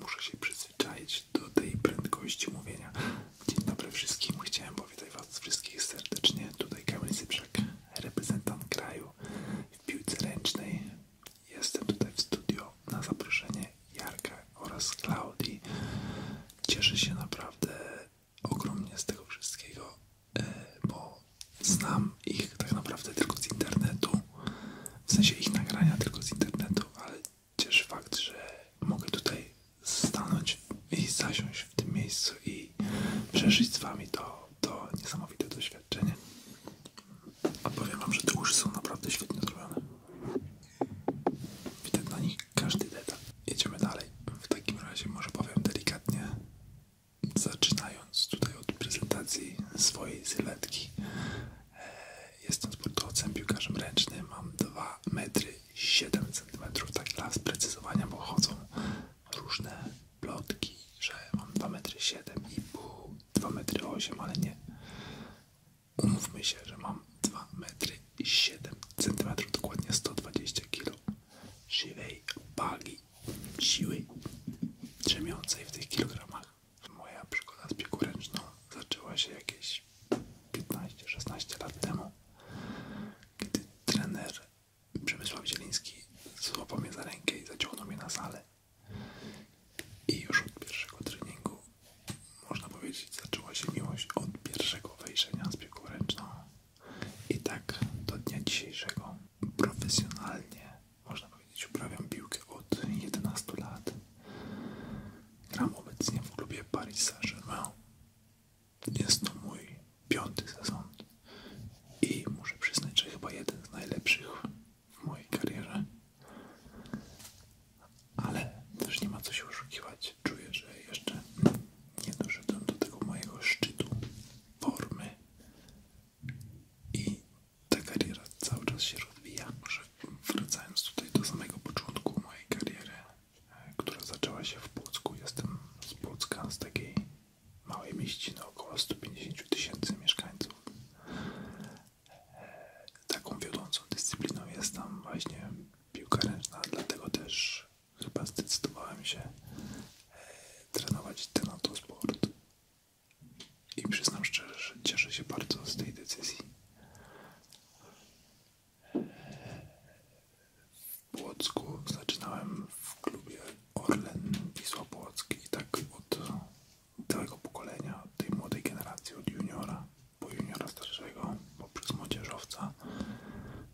Muszę się przyzwyczaić do tej prędkości mówienia. Dzień dobry wszystkim. Chciałem powitać Was wszystkich serdecznie. Tutaj Kamil Cyprzak, reprezentant kraju w piłce ręcznej. Jestem tutaj w studio na zaproszenie Jarka oraz Klaudii. Cieszę się naprawdę ogromnie z tego wszystkiego, e, bo znam ich tak naprawdę tylko z internetu. W sensie ich nagrania tylko z internetu, ale cieszy fakt, że mogę tutaj stanąć i zasiąść w tym miejscu i przeżyć z wami to, to niesamowite doświadczenie. A powiem wam, że te uszy są naprawdę świetnie zrobione. Witam na nich każdy detal. Jedziemy dalej. W takim razie może powiem delikatnie, zaczynając tutaj od prezentacji swojej sylwetki. Jestem sportowcem, piłkarzem ręcznym, mam 2 metry 7 cm, tak dla sprecyzowania, bo chodzą różne plotki, że mam 2 metry 7 i pół, 2 metry 8, ale nie. Umówmy się, że mam 2 metry 7 cm, dokładnie 120 kg żywej wagi, siły drzemiącej w tych kilogramach. Moja przygoda z piłką zaczęła się jakieś 15-16 lat temu, kiedy trener Przemysław Zieliński złapał mnie za rękę i zaciągnął mnie na salę. I już od pierwszego treningu, można powiedzieć, zaczęła się miłość od pierwszego wejrzenia z piłką ręczną. I tak do dnia dzisiejszego profesjonalnie, można powiedzieć powiedzieć, piłkę od 11 lat. Gram obecnie w klubie Paris Saint-Germain. Jest to mój piąty sezon i muszę przyznać, że chyba jeden z najlepszych w mojej karierze. Ale też nie ma co się oszukiwać. Czuję, że jeszcze nie doszedłem do tego mojego szczytu formy i ta kariera cały czas się rozwija. Może wracając tutaj do samego początku mojej kariery, e, która zaczęła się w Płocku. Jestem z Płocka, z takiej małej mieściny, około 150 tysięcy mieszkańców. E, taką wiodącą dyscypliną jest tam właśnie piłka ręczna, dlatego też chyba zdecydowałem się e, trenować ten autosport. I przyznam szczerze, że cieszę się bardzo z tej decyzji. W Płocku zaczynałem w klubie Orlen Wisła Płock i tak od całego pokolenia, od tej młodej generacji, od juniora, po juniora starszego, poprzez młodzieżowca,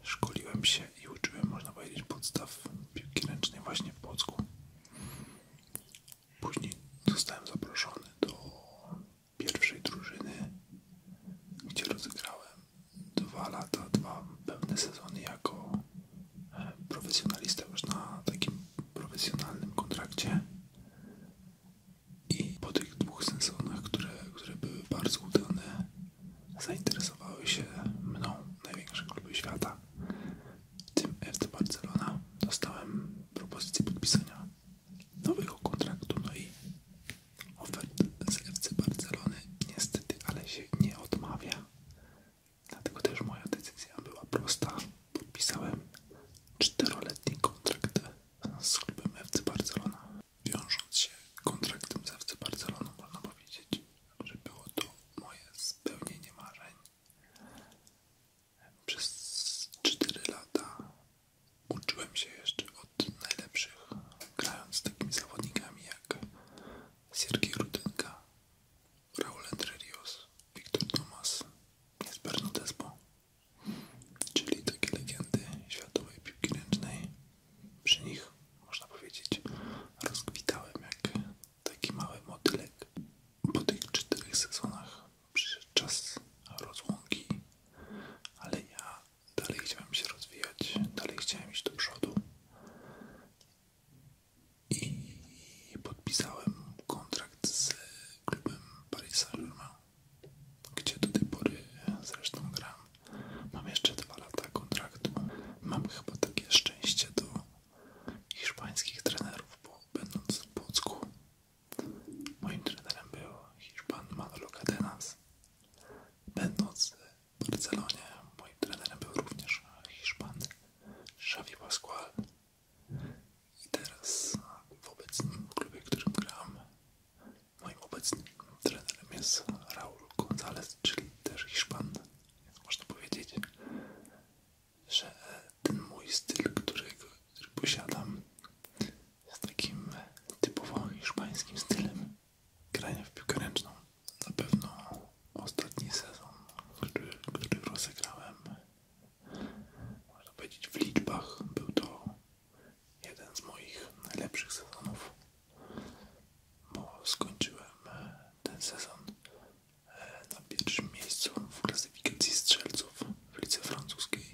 szkoliłem się i uczyłem, można powiedzieć, podstaw piłki ręcznej właśnie w Płocku. Później zostałem zaproszony do pierwszej drużyny, gdzie rozegrałem dwa lata, dwa pełne sezony jako e, profesjonalista już na takim profesjonalnym kontrakcie. I po tych dwóch sezonach, które, które były bardzo udane, zainteresowały się mną największe kluby świata, tym FC Barcelona. Dostałem propozycję podpisania nowego kontraktu, no i ofert z FC Barcelony niestety, ale się nie odmawia. Dlatego też moja decyzja była prosta. Podpisałem czteroletni kontrakt z klubem FC Barcelona. Wiążąc się kontraktem z FC Barceloną można powiedzieć, że było to moje spełnienie marzeń. Przez 4 lata uczyłem się jeszcze od najlepszych, grając z takimi zawodnikami jak Siergiej Rudynka, Raul Entrerios, Wiktor Tomas, Jesper Despo, czyli takie legendy światowej piłki ręcznej. Przy nich, można powiedzieć, rozkwitałem jak taki mały motylek po tych czterech sezonach przyszedł czas rozłąki, ale ja dalej chciałem się rozwijać, dalej chciałem iść do przodu i podpisałem kontrakt z klubem Paris saint gdzie do tej pory zresztą gram. Mam jeszcze dwa lata kontraktu. Mam chyba takie szczęście do hiszpańskich trenerów, bo będąc w Płocku Moim trenerem był Hiszpan Manolo Cadenas. Będąc w Barcelonie, moim trenerem był również Hiszpan Xavi Pascual. I teraz w obecnym klubie, w którym gram, moim obecnym trenerem jest Raul González, czyli też Hiszpan. Więc można powiedzieć, że ten mój styl, którego który posiadam z takim typowym hiszpańskim stylem grania w piłkę ręczną. Na pewno ostatni sezon, który, który rozegrałem, można powiedzieć w liczbach, był to jeden z moich najlepszych sezonów, bo skończyłem ten sezon e, na pierwszym miejscu w klasyfikacji strzelców w lice francuskiej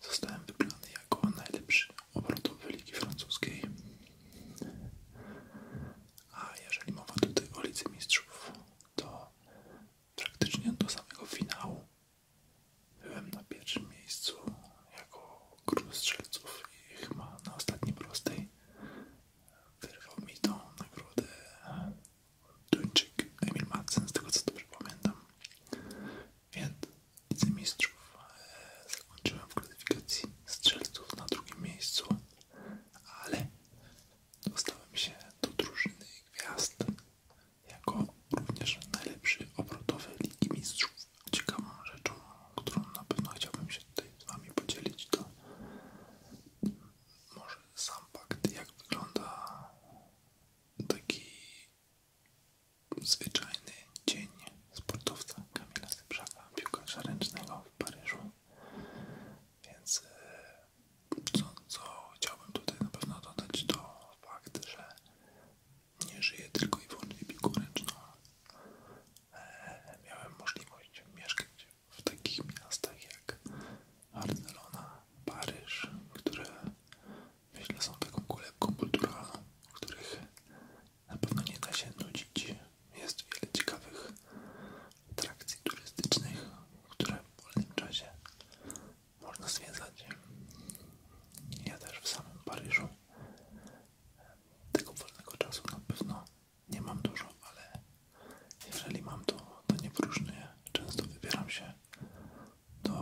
Zostałem wybrany jako najlepszy obrotowy Ligi Francuskiej. A jeżeli mowa tutaj o Lidze Mistrzów, to praktycznie do samego finału byłem na pierwszym miejscu jako król strzelców i chyba na ostatniej prostej wyrwał mi tą nagrodę Duńczyk Emil Madsen, z tego co dobrze pamiętam. Więc Widzę Mistrzów e, zakończyłem w klasyfikacji strzelców na drugim miejscu, ale dostałem się do drużyny gwiazd jako również najlepszy obrotowy Ligi Mistrzów. Ciekawą rzeczą, którą na pewno chciałbym się tutaj z Wami podzielić, to może sam jak wygląda taki zwyczajny dzień sportowca Kamila Zybrzaka, piłkarza ręcznego w Paryżu. Więc e, co, co chciałbym tutaj na pewno dodać, to fakt, że nie żyję tylko i wyłącznie piłką ręcznego, Miałem możliwość mieszkać w takich miastach jak Barcelona, Paryż, które myślę są taką kolebką w których na pewno nie da się nudzić. Jest wiele ciekawych atrakcji turystycznych, które w wolnym czasie można zwiedzać. Ja też w samym Paryżu tego wolnego czasu na pewno nie mam dużo, ale jeżeli mam to, to nie próżnuję. Często wybieram się do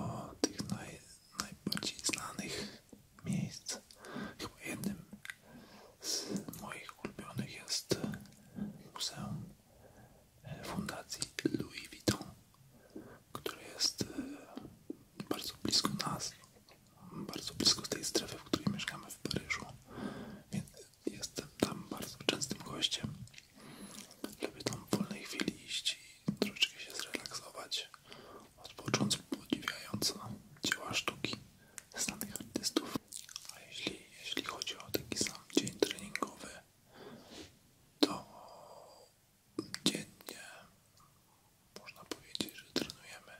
tych najbardziej znanych miejsc. Chyba jednym z moich ulubionych jest Muzeum Fundacji Louis Vuitton, które jest e, bardzo blisko nas, bardzo blisko tej strefy, w której mieszkamy w Paryżu. Więc jestem tam bardzo częstym gościem lepiej tam w wolnej chwili iść i troszeczkę się zrelaksować, odpocząć podziwiając dzieła sztuki znanych artystów. A jeśli, jeśli chodzi o taki sam dzień treningowy, to dziennie można powiedzieć, że trenujemy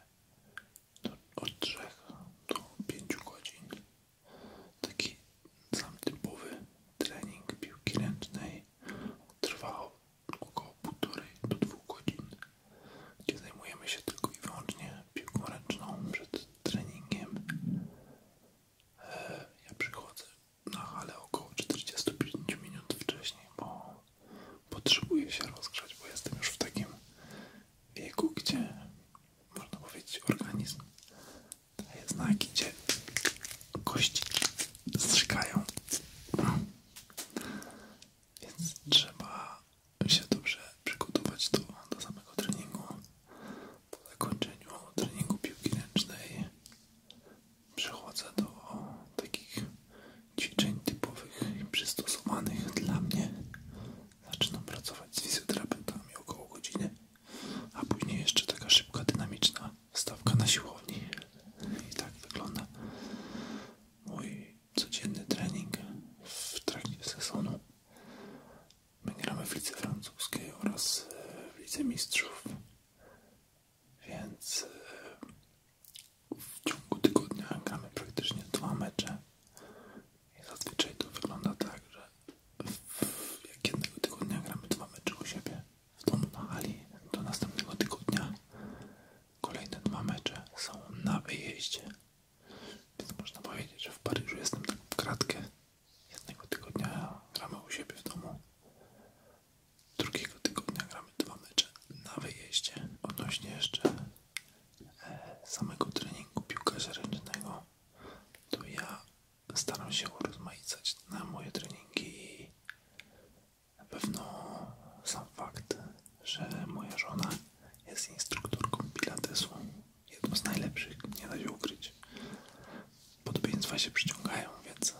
od 3 do 5 godzin. Taki sam typowy trening piłki ręcznej trwa około 1,5 do 2 godzin, gdzie zajmujemy się tylko i wyłącznie piłką ręczną przed treningiem. E, ja przychodzę na halę około 45 minut wcześniej, bo potrzebuję się rozgrzać, bo jestem już w takim wieku, gdzie można powiedzieć organizm znaki, gdzie kości strzykają. No. Więc trzeba się dobrze przygotować do, samego treningu. Po zakończeniu treningu piłki ręcznej przechodzę do takich ćwiczeń typowych i przystosowanych dla mnie. Zaczynam pracować z fizjoterapeutami około godziny a później jeszcze taka szybka, dynamiczna stawka na siłowni. I tak wygląda mój codzienny trening w trakcie sezonu. My gramy w Lidze Francuskiej oraz e, w Lidze Mistrzów, więc e, w ciągu tygodnia gramy praktycznie dwa mecze. I zazwyczaj to wygląda tak, że w, jak jednego tygodnia gramy dwa mecze u siebie, w domu na hali do następnego tygodnia kolejne dwa mecze są na wyjeździe. Więc można powiedzieć, że w Paryżu jestem tak w kratkę. Jednego tygodnia gramy u siebie w domu. Drugiego tygodnia gramy dwa mecze na wyjeździe. Odnośnie jeszcze e, samego treningu piłkarza ręcznego, to ja staram się urozmaicać na moje treningi i na pewno sam fakt, że moja żona jest instruktorką pilatesu, jedną z najlepszych, nie da się ukryć. Podobieństwa się przyciągają, więc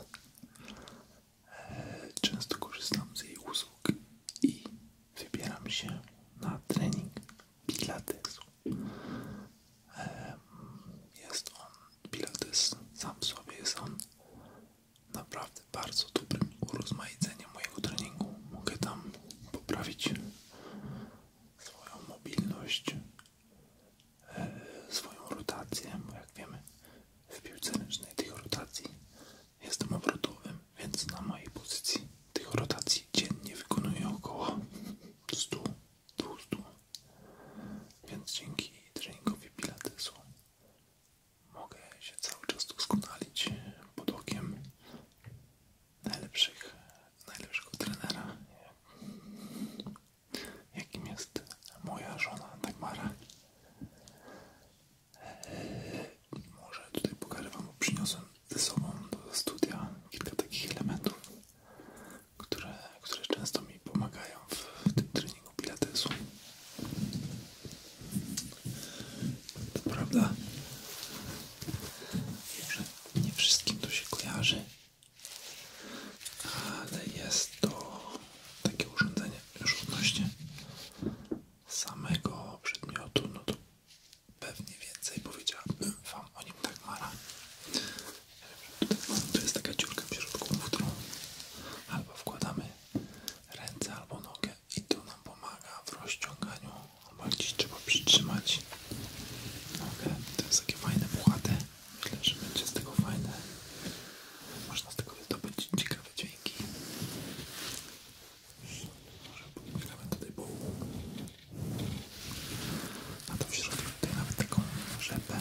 e, często korzystam z jej usług i wybieram się na trening pilatesu. Jest on, Pilates sam w sobie jest on naprawdę bardzo dobrym urozmaiceniem mojego treningu. Mogę tam poprawić swoją mobilność, e, swoją rotację, bo jak wiemy w piłce ręcznej tych rotacji jestem obrotowym, więc na mojej pozycji tych rotacji dziennie wykonuję około 100-200 więc dzięki treningowi pilatesu mogę się cały czas doskonalić pod okiem najlepszych, najlepszego trenera, jakim jest moja żona Dagmara. Może tutaj pokażę Wam, przyniosłem ze sobą do studia kilka takich elementów, które, które często mi pomagają w tym treningu pilatesu. To prawda, wiem, że nie wszystkim to się kojarzy, ale jest to takie urządzenie już samego przedmiotu, no to pewnie więcej powiedziałabym Wam o nim tak mara. To jest taka dziurka w środku, w którą albo wkładamy ręce albo nogę i to nam pomaga w rozciąganiu, albo gdzieś trzeba przytrzymać nogę. To jest takie fajne, puchate. Myślę, że będzie z tego fajne. Można z tego wydobyć ciekawe dźwięki. Może pobiegamy tutaj po a to w środku tutaj nawet taką rzepę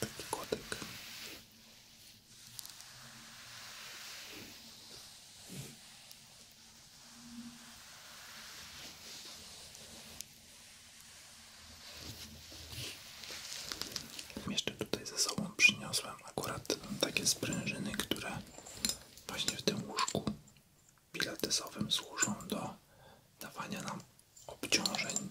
Taki kotek. Jeszcze tutaj ze sobą przyniosłem akurat takie sprężyny, które właśnie w tym łóżku pilatesowym służą do dawania nam obciążeń.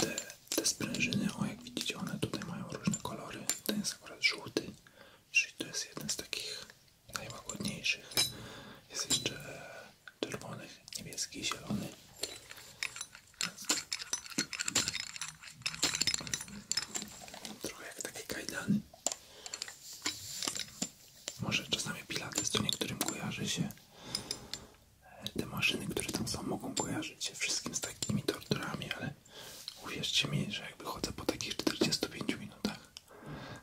Te, te sprężyny, o jak widzicie, one tutaj mają różne kolory. Ten jest akurat żółty, czyli to jest jeden z takich najłagodniejszych. Jest jeszcze czerwony, niebieski, zielony. Trochę jak takie kajdany. Może czasami pilates to niektórym kojarzy się te maszyny, które tam są, mogą kojarzyć się wszystkim z takimi torturami, ale uwierzcie mi, że jakby chodzę po takich 45 minutach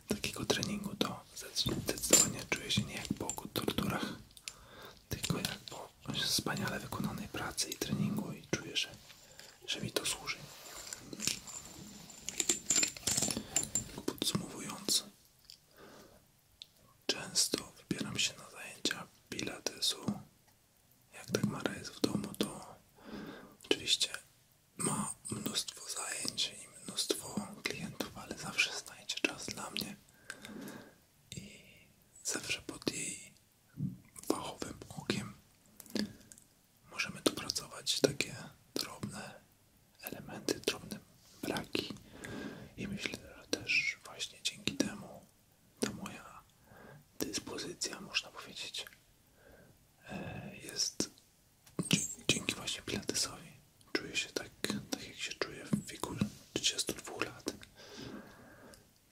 takiego treningu, to zdecydowanie czuję się nie jak po torturach, tylko jak po wspaniale wykonanej pracy i treningu i czuję, że, że mi to służy. Podsumowując, Często wybieram się na zajęcia pilatesu. Jak tak Mara jest w domu, to oczywiście ma mnóstwo zajęć i mnóstwo klientów, ale zawsze znajdzie czas dla mnie i zawsze pod jej fachowym okiem możemy tu pracować takie drobne elementy, drobne braki i myślę, że też właśnie dzięki temu ta moja dyspozycja, można powiedzieć, e, jest dzięki właśnie pilatesowi. Czuję się tak, tak jak się czuję w wieku 32 lat.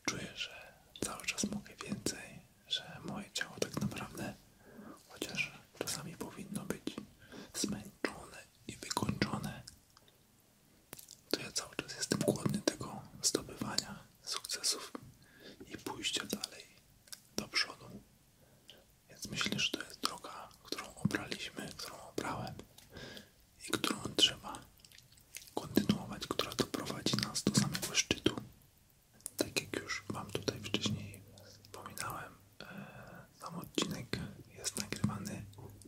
Czuję, że cały czas mogę więcej, że moje ciało tak naprawdę, chociaż czasami powinno być zmęczone i wykończone, to ja cały czas jestem głodny tego zdobywania sukcesów i pójścia dalej do przodu. Więc myślę, że to jest droga, którą obraliśmy, którą obrałem i którą trzeba kontynuować, która to prowadzi nas do samego szczytu. Tak jak już Wam tutaj wcześniej wspominałem, E, sam odcinek jest nagrywany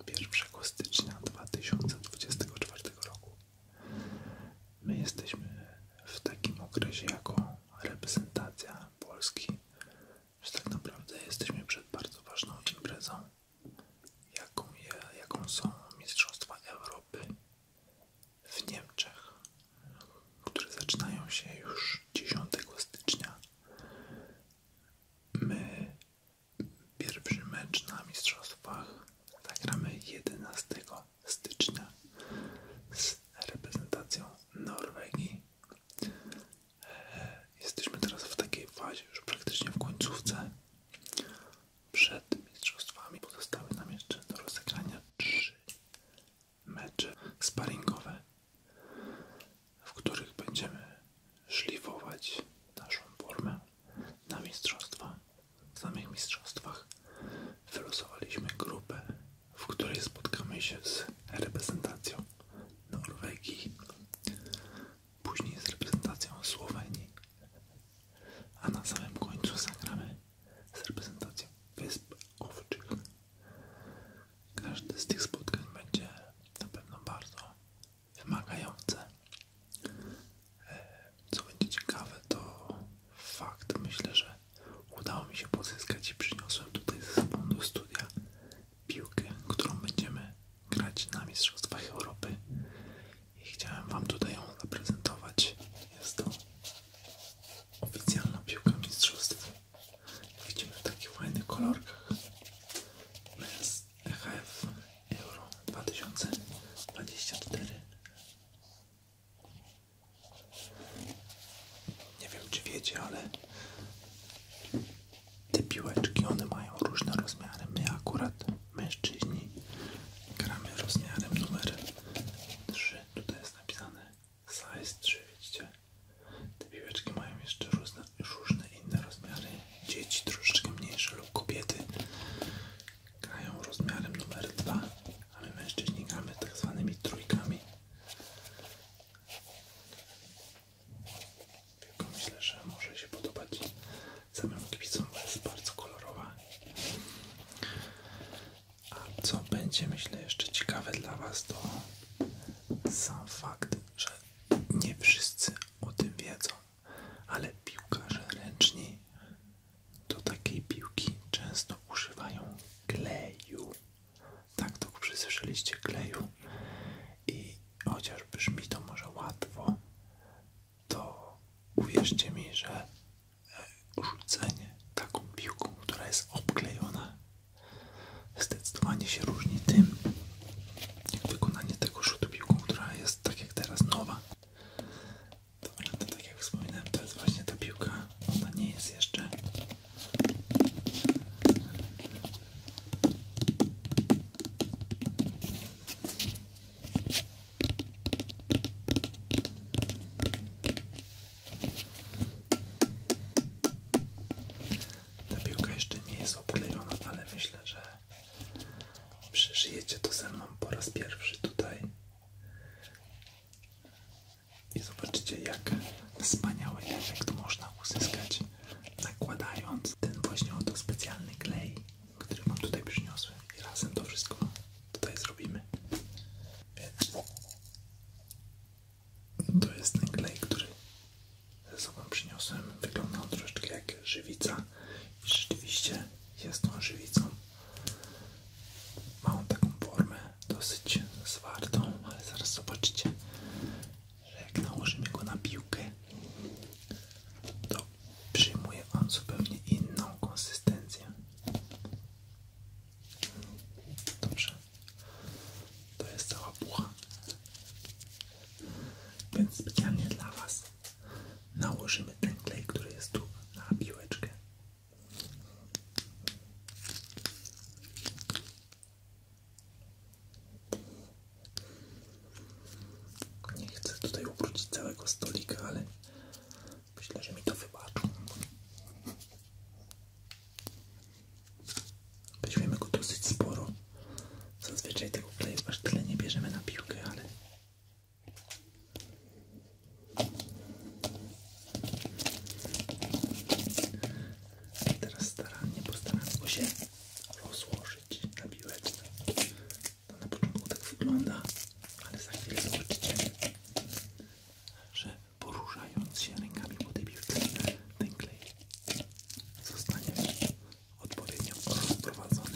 1 stycznia 2024 roku. My jesteśmy w takim okresie jako reprezentacja Polski, że tak naprawdę jesteśmy przed bardzo ważną imprezą, jaką, są Mistrzostwa Europy w Niemczech, które zaczynają się już 10 stycznia. My pierwszy mecz na mistrzostwach zagramy 11 stycznia z reprezentacją Norwegii. E, jesteśmy teraz w takiej fazie, już praktycznie w końcówce. Przed mistrzostwami pozostały nam jeszcze do rozegrania trzy mecze sparringowe w których będziemy szlifować naszą formę na mistrzostwa. W samych mistrzostwach wylosowaliśmy grupę, w której spotkamy się z reprezentacją Norwegii, później z reprezentacją Słowenii, a na samym końcu zagramy z reprezentacją Wysp Owczych. Każde z tych spotkań będzie na pewno bardzo wymagające. E, co będzie ciekawe, to fakt, myślę, że udało mi się pozyskać i przyniosłem tutaj ze sobą do studia piłkę, którą będziemy grać na Mistrzostwach Europy i chciałem Wam tutaj ją zaprezentować. Jest to oficjalna piłka Mistrzostw Widzimy w takich fajnych kolorkach. Men's EHF Euro 2024. Nie wiem czy wiecie, ale te piłeczki, one mają różne rozmiary. My akurat, mężczyźni, gramy rozmiarem numer 3. Tutaj jest napisane size 3, widzicie? Te piłeczki mają jeszcze różne, inne rozmiary. Dzieci troszeczkę mniejsze lub kobiety grają rozmiarem numer dwa, a my mężczyźni gramy tak zwanymi trójkami. myślę, że może się podobać samym kibicom, jest bardzo kolorowa. A co będzie myślę jeszcze ciekawe dla Was to sam fakt, że nie wszyscy o tym wiedzą, ale piłkarze ręczni do takiej piłki często używają kleju. Tak to przysłyszeliście kleju i chociaż brzmi to może łatwo, to uwierzcie mi, że rzucenie taką piłką, która jest obklejona zdecydowanie się różni tym, jak wykonanie tego rzutu piłką, która jest tak jak teraz nowa. to tak jak wspominałem, to jest właśnie ta piłka, ona nie jest jeszcze ta piłka jeszcze nie jest oklejona, ale myślę, że przyżyjecie to ze po raz pierwszy tutaj. I zobaczycie, jaki wspaniały efekt można uzyskać, nakładając ten właśnie oto specjalny klej, który mam tutaj przyniosłem. I razem to wszystko tutaj zrobimy. No to jest ten klej, który ze sobą przyniosłem. Wygląda on troszeczkę jak żywica i rzeczywiście jest tą żywicą. Ma on taką formę dosyć zwartą, ale zaraz zobaczycie, że jak nałożymy go na piłkę, to przyjmuje on zupełnie inną konsystencję. Dobrze, to jest cała pucha. Więc specjalnie dla Was nałożymy ten klej, który jest tu na piłeczkę. Nie chcę tutaj ubrudzić całego stolika, ale myślę, że mi to wybaczą. Weźmiemy go dosyć sporo. Zazwyczaj tego kleju aż tyle nie bierzemy na piłkę, ale teraz starannie postaram go się rozłożyć na piłeczce. To na początku tak wygląda, ale za chwilę zobaczycie, że poruszając się rękami po tej piłce, ten klej zostanie odpowiednio rozprowadzony.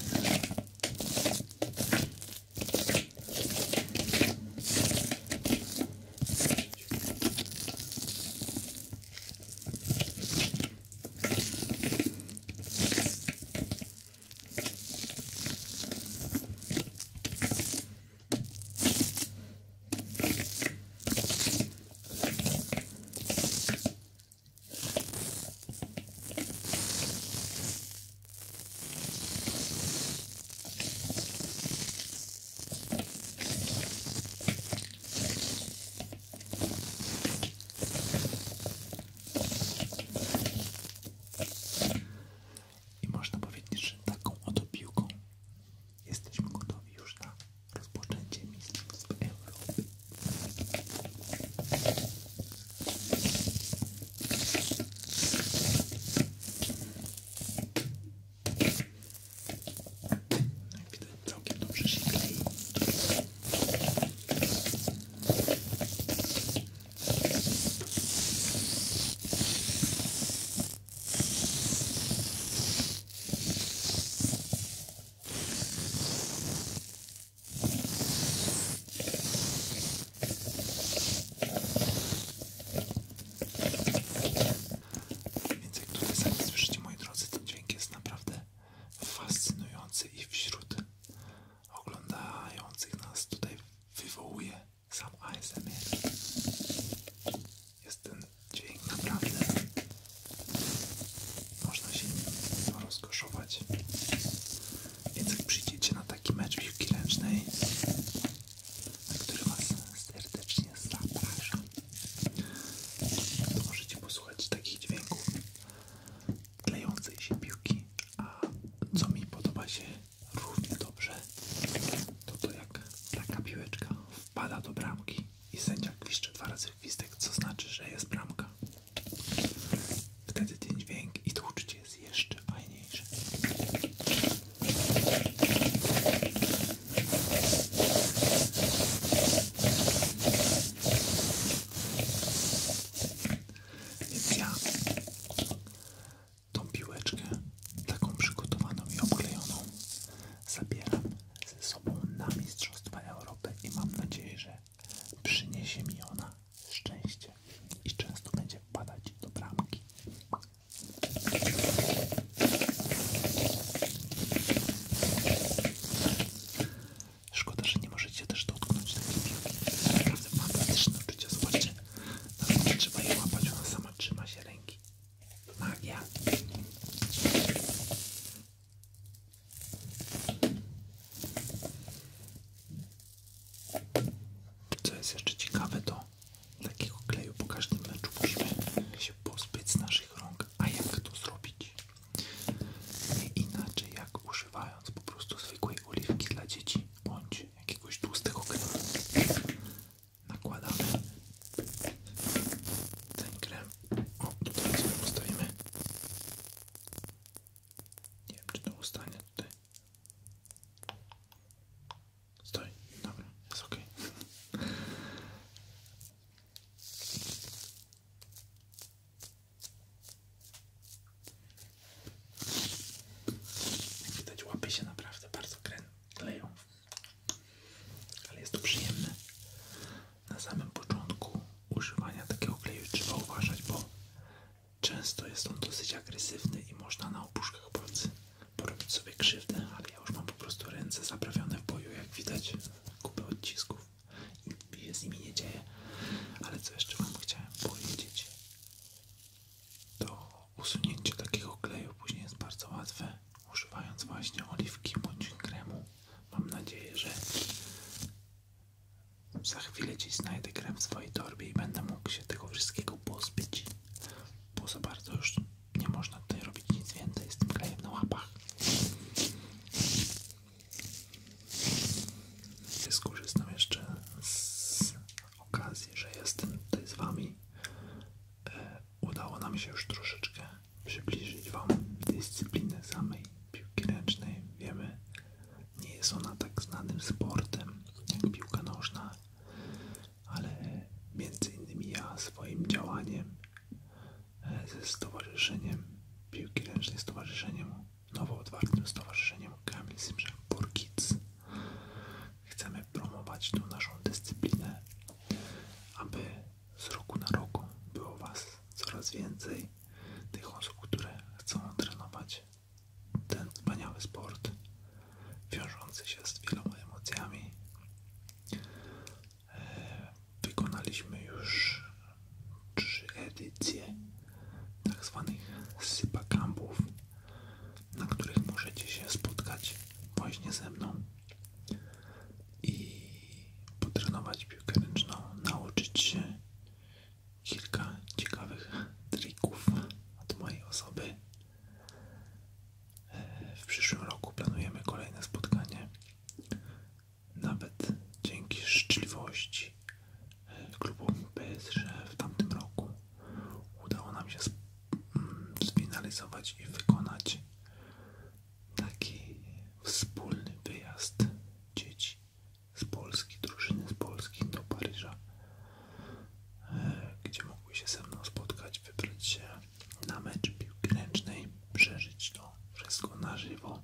I można powiedzieć, że taką oto piłką jesteśmy gotowi już na rozpoczęcie Mistrzostw Europy. Jak widać całkiem dobrze się klei. Więc jak tutaj sami słyszycie, moi drodzy, ten dźwięk jest naprawdę fascynujący i wśród oglądających nas tutaj wywołuje sam ASMR. Jest ten dźwięk naprawdę można się rozkoszować. Więc jak przyjdziecie na taki mecz piłki ręcznej, na który Was serdecznie zapraszam, to możecie posłuchać takich dźwięków klejącej się piłki, a co mi podoba się równie dobrze, to to jak taka piłeczka wpada do bramki i sędzia gwiszczy dwa razy gwizdek, co znaczy, że jest bramka. Wtedy ten dźwięk i to uczucie jest jeszcze fajniejsze. Więc ja tą piłeczkę, taką przygotowaną i obklejoną, zabieram ze sobą na Mistrzostwa Europy i mam nadzieję, że przyniesie mi ona szczęście i często będzie wpadać do bramki. Szkoda, że nie możecie też dotknąć takiej piłki. Naprawdę fantastyczne uczucie. Zobaczcie, naprawdę trzeba je łapać, ona sama trzyma się ręki. Magia. Co jest jeszcze ciekawe, to takiego kleju po każdym meczu musimy się pozbyć z naszych rąk. A jak to zrobić? Nie inaczej jak używając po prostu zwykłej oliwki dla dzieci bądź jakiegoś tłustego kremu. Nakładamy ten krem o, tutaj sobie postawimy. Nie wiem, czy to ustanie tutaj. Stoi, dobra, jest ok. Jak widać łapy się naprawdę bardzo kleją, ale jest to przyjemne na samym początku używania takiego kleju trzeba uważać, bo często jest on dosyć agresywny i można na opuszkach palcy porobić sobie krzywdę, ale ja już mam po prostu ręce zaprawione w boju, jak widać, kupy odcisków i się z nimi nie dzieje. Ale co jeszcze Wam chciałem powiedzieć, to usunięcie takiego kleju później jest bardzo łatwe, używając właśnie oliwki bądź kremu Mam nadzieję, że za chwilę Ci znajdę krem w swojej torbie i będę mógł się tego wszystkiego pozbyć, bo za bardzo nie można tutaj robić nic więcej Jestem tym na łapach. Ja skorzystam jeszcze z okazji, że jestem tutaj z Wami. E, udało nam się już troszeczkę przybliżyć Wam dyscyplinę samej piłki ręcznej. Wiemy, nie jest ona tak znanym sportem jak piłka nożna, ale między innymi ja swoim działaniem e, ze stowarzyszeniem piłki ręcznej, stowarzyszeniem, nowo otwartym stowarzyszeniem Kamil Simrzak Burkic chcemy promować tę naszą dyscyplinę, aby z roku na rok było Was coraz więcej, tych osób, które chcą trenować ten wspaniały sport, wiążący się z wieloma emocjami. E, wykonaliśmy już trzy edycje tak zwanych Sypa sypakampów, na których możecie się spotkać właśnie ze mną i potrenować piłkę ręczną, nauczyć się kilka ciekawych trików od mojej osoby. E, w przyszłym roku planujemy kolejne spotkanie. Nawet dzięki życzliwości e, klubu PSG w tamtym roku udało nam się mm, sfinalizować i wykonać taki wspólny wyjazd dzieci z Polski, drużyny z Polski do Paryża, e, gdzie mogły się ze mną spotkać, wybrać się na mecz piłki przeżyć to wszystko na żywo,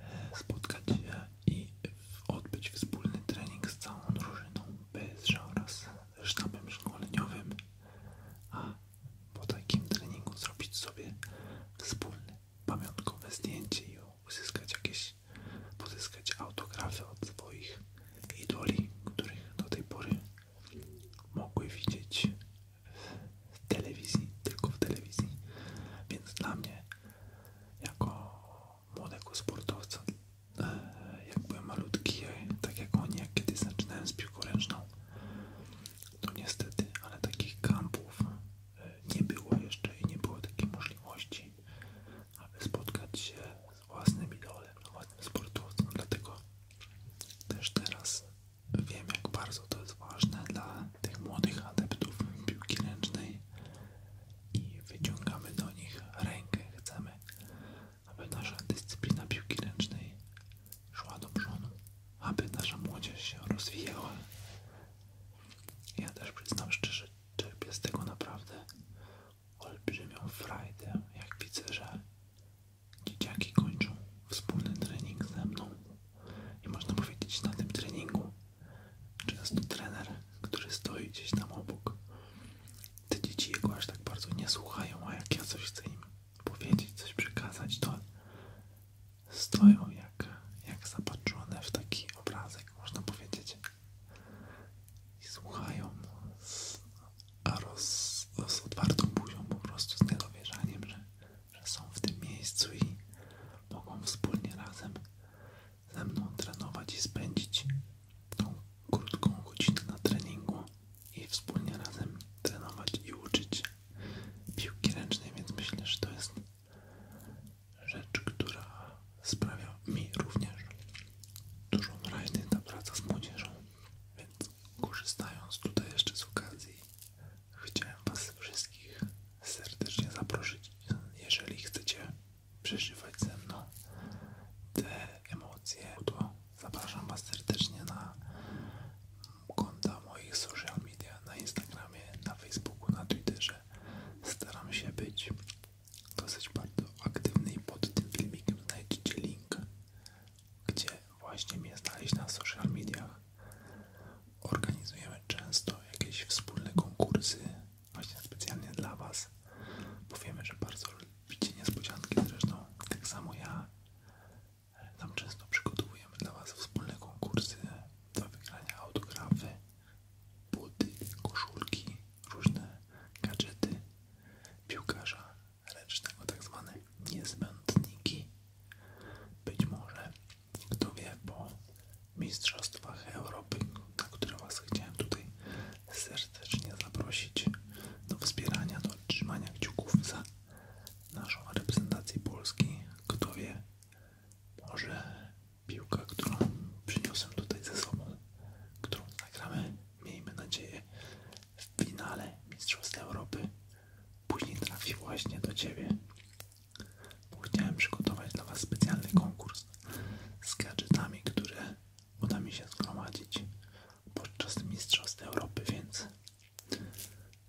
e, spotkać się i odbyć wspólny trening z całą drużyną bez oraz sztabem szkoleniowym, a po takim treningu zrobić sobie wspólne pamiątkowe zdjęcie i uzyskać jakieś, pozyskać autografy od swoich idoli, których do tej pory mogły widzieć w telewizji, tylko w telewizji. Więc dla mnie, jako młodego sportowca, e, jak byłem malutki, e, tak jak oni, jak kiedyś zaczynałem z piłką ręczną, to niestety, ale takich kampów e, nie było jeszcze i nie było takiej możliwości, aby spotkać się z własnym idolem, z własnym sportowcem, dlatego też teraz wiem jak bardzo to jest ważne dla tych młodych adeptów piłki ręcznej i wyciągamy do nich rękę, chcemy, aby nasza dyscyplina piłki ręcznej szła do przodu, aby nasza młodzież się rozwijała. Ja też przyznam szczerze, czerpię z tego naprawdę olbrzymią frajdę, jak widzę, że dzieciaki kończą wspólny trening ze mną. I można powiedzieć, na tym treningu często trener, który stoi gdzieś tam obok, te dzieci jego aż tak bardzo nie słuchają, a jak ja coś chcę im powiedzieć, coś przekazać, to stoją jak, jak zapatrzone w taki obrazek, można powiedzieć. I słuchają z, a roz, z buzią, po prostu z niedowierzaniem, że, że są w tym miejscu i mogą wspólnie razem ze mną trenować i spędzić tą krótką godzinę na treningu i wspólnie razem trenować i uczyć piłki ręcznej, więc myślę, że to jest rzecz, która sprawia mi również dużo frajdę ta praca z młodzieżą, więc korzystając tutaj jeszcze z okazji chciałem Was wszystkich serdecznie zaprosić, jeżeli chcecie przeżywać ze mną te emocje, to zapraszam Was serdecznie na konta moich social media na Instagramie, na Facebooku, na Twitterze. Staram się być dosyć bardzo aktywny i pod tym filmikiem znajdziecie link, gdzie właśnie mnie znaleźć na social mediach. Organizujemy często jakieś wspólne konkursy, właśnie specjalnie dla Was. Powiemy, że bardzo lubicie niespodzianki, zresztą tak samo ja. Tam często przygotowujemy dla Was wspólne konkursy do wygrania autografy, buty, koszulki, różne gadżety piłkarza ręcznego, tak zwane niezbędniki. Być może, kto wie, po Mistrzostwach Europy, na które Was chciałem tutaj serdecznie zaprosić do wspierania, do trzymania kciuków za naszą reprezentację Polski. Kto wie, może piłka, którą przyniosłem tutaj ze sobą, którą nagramy, miejmy nadzieję, w finale Mistrzostw Europy, później trafi właśnie do Ciebie. Bo chciałem przygotować dla Was specjalny konkurs z gadżetami, które uda mi się zgromadzić podczas Mistrzostw Europy, więc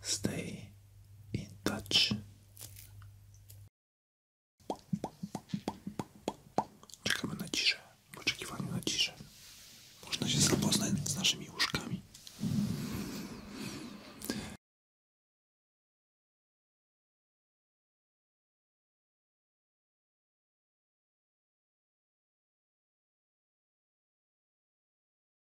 Stay in touch. Czekamy na ciszę, w oczekiwaniu na ciszę. Można się zapoznać z naszymi łóżkami.